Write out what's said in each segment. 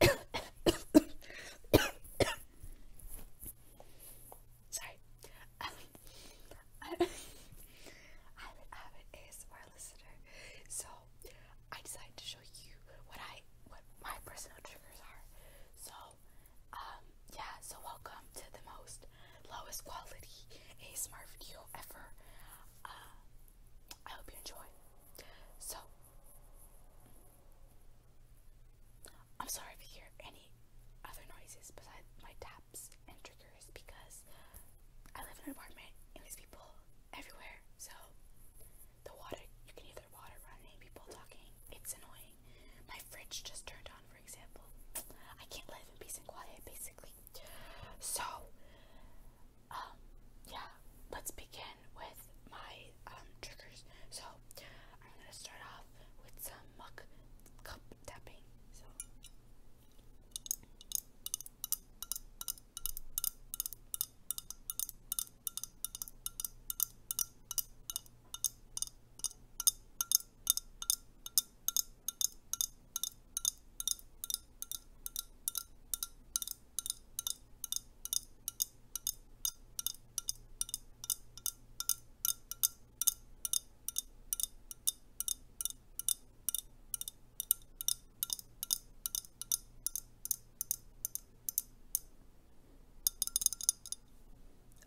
Sorry. Um, I, I'm listener, so I decided to show you what I what my personal triggers are. So, um, yeah. So welcome to the most lowest quality A Smart video ever. Uh, I hope you enjoy. So, I'm sorry if you hear any other noises besides my taps and triggers because I live in an apartment and there's people everywhere. So, the water, you can hear the water running, people talking. It's annoying. My fridge just turned on, for example. I can't live in peace and quiet, basically. So, um, yeah, let's begin with my um, triggers. So I'm gonna start off with some muck cup tapping. So.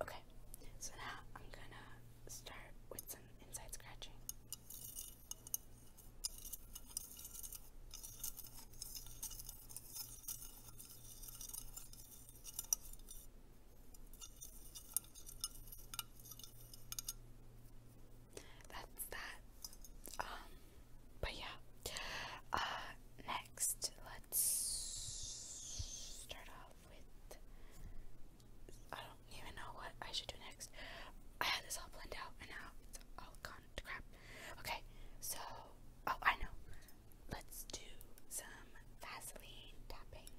Okay, so now I'm gonna start with some inside scratching. That's that. Um, but yeah. Uh, next, let's start off with I don't even know what I should do next. I had this all planned out and now it's all gone to crap. Okay, so oh I know. Let's do some Vaseline tapping.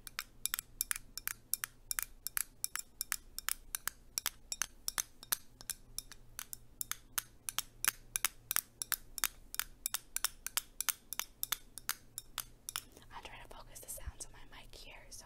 I'm trying to focus the sounds on my mic here, so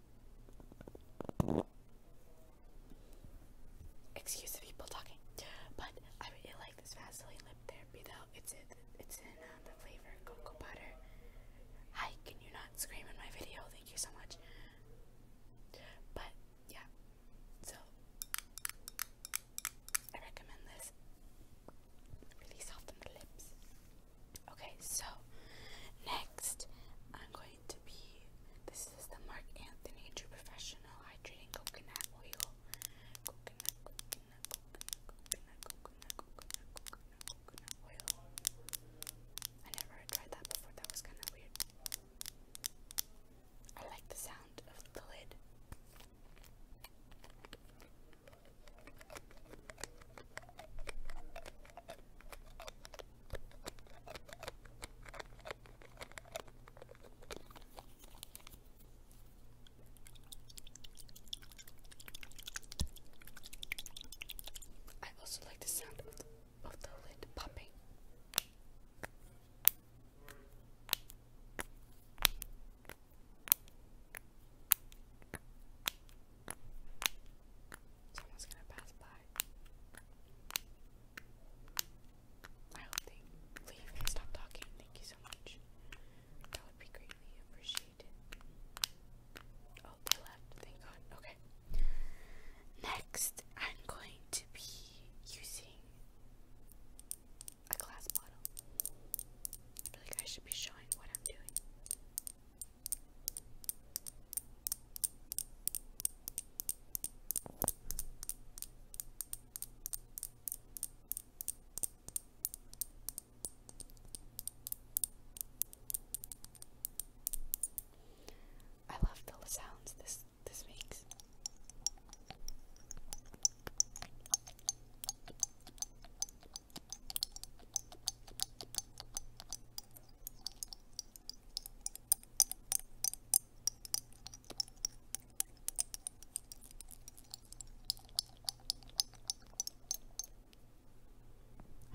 Excuse the people talking, but I really like this Vaseline lip therapy though. It's it, it's in uh, the flavor cocoa butter. Hi, can you not scream in my video? Thank you so much. But yeah, so I recommend this. Really soften the lips. Okay, so next I'm going to be this is the Mark Anthony True Professional Hydrating Coconut Oil. coconut, coconut, coconut, coconut, coconut, coconut, coconut oil. I never tried that before, that was kinda weird. I like the sound of the lid. I also like the sound of the, lid popping. Someone's gonna pass by. I hope they leave stop talking. Thank you so much. That would be greatly appreciated. Oh, they left. Thank God. Okay. Next, I'm going to be using a glass bottle. I feel like I should be showing what I'm doing. I love the sounds this this makes. I'm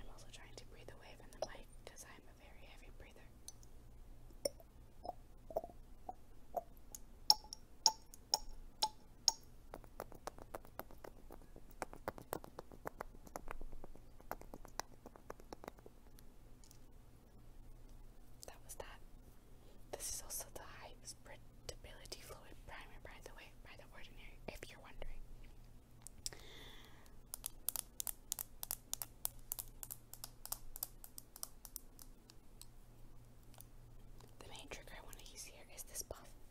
also trying to breathe away from the mic because I'm a very heavy breather. That was that. This is also the high spreadability fluid primer, by the way, by the ordinary, if you're wondering. The main trigger I want to use here is this puff.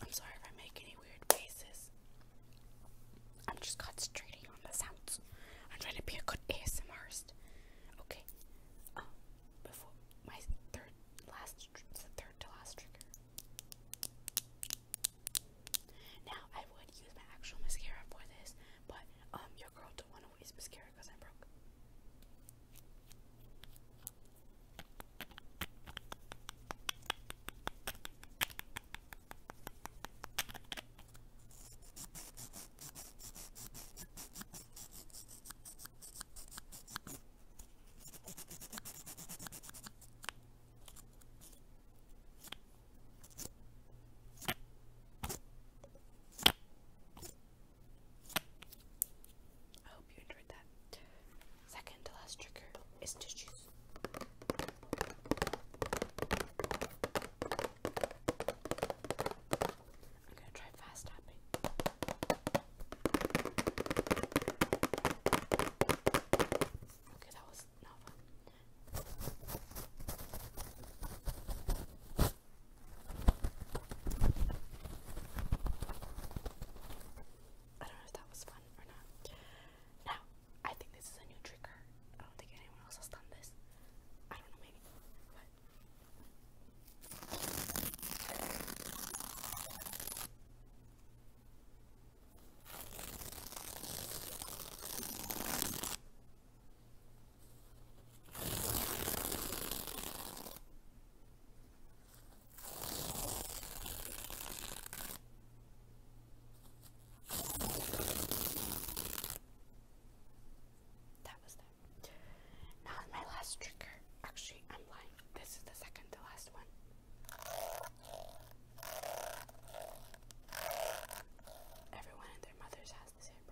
I'm sorry if I make any weird faces. I'm just concentrating on the sounds. I'm trying to be a good ASMRist. Okay. Um, before my third last, the third to last trigger. Now, I would use my actual mascara for this, but um, your girl don't want to waste mascara because I'm broke. I hope you enjoyed that. Second to last trigger is tissues. I'm gonna try fast tapping. Okay, that was not fun. I don't know if that was fun or not. Now, I think this is a new trigger. I don't think anyone else has done this. I don't know, maybe. That was that. Now, my last trigger. Actually, I'm lying. This is the second to last one. Everyone and their mothers has the same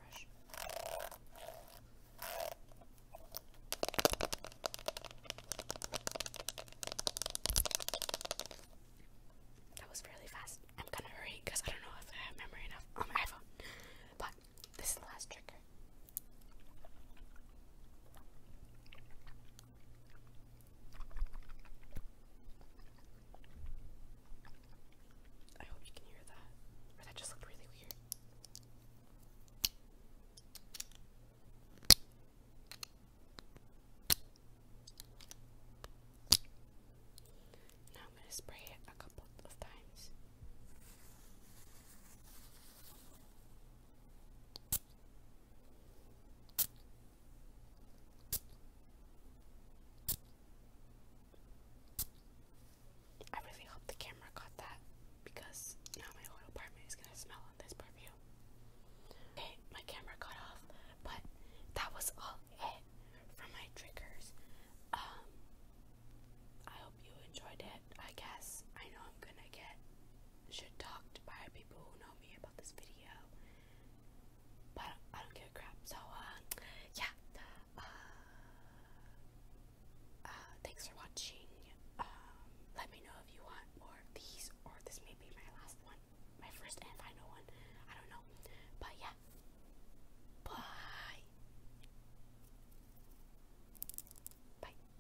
That was really fast. I'm gonna hurry because I don't know if I have memory enough on my iPhone. But this is the last trigger. I hope you can hear that. that just looked really weird. Now I'm going to spray it a couple of times. I really hope the camera caught that because now my whole apartment is gonna smell on this perfume. Okay, my camera cut off, but that was all it for my triggers. Um, I hope you enjoyed it. I guess I know I'm gonna get should talk to by people who know me about this video. But I don't, I do give a crap. So, uh, yeah. Uh, uh, thanks for watching. Um, let me know if you want more of these, or this may be my last one, my first and final one. I don't know. But yeah. Bye. Bye.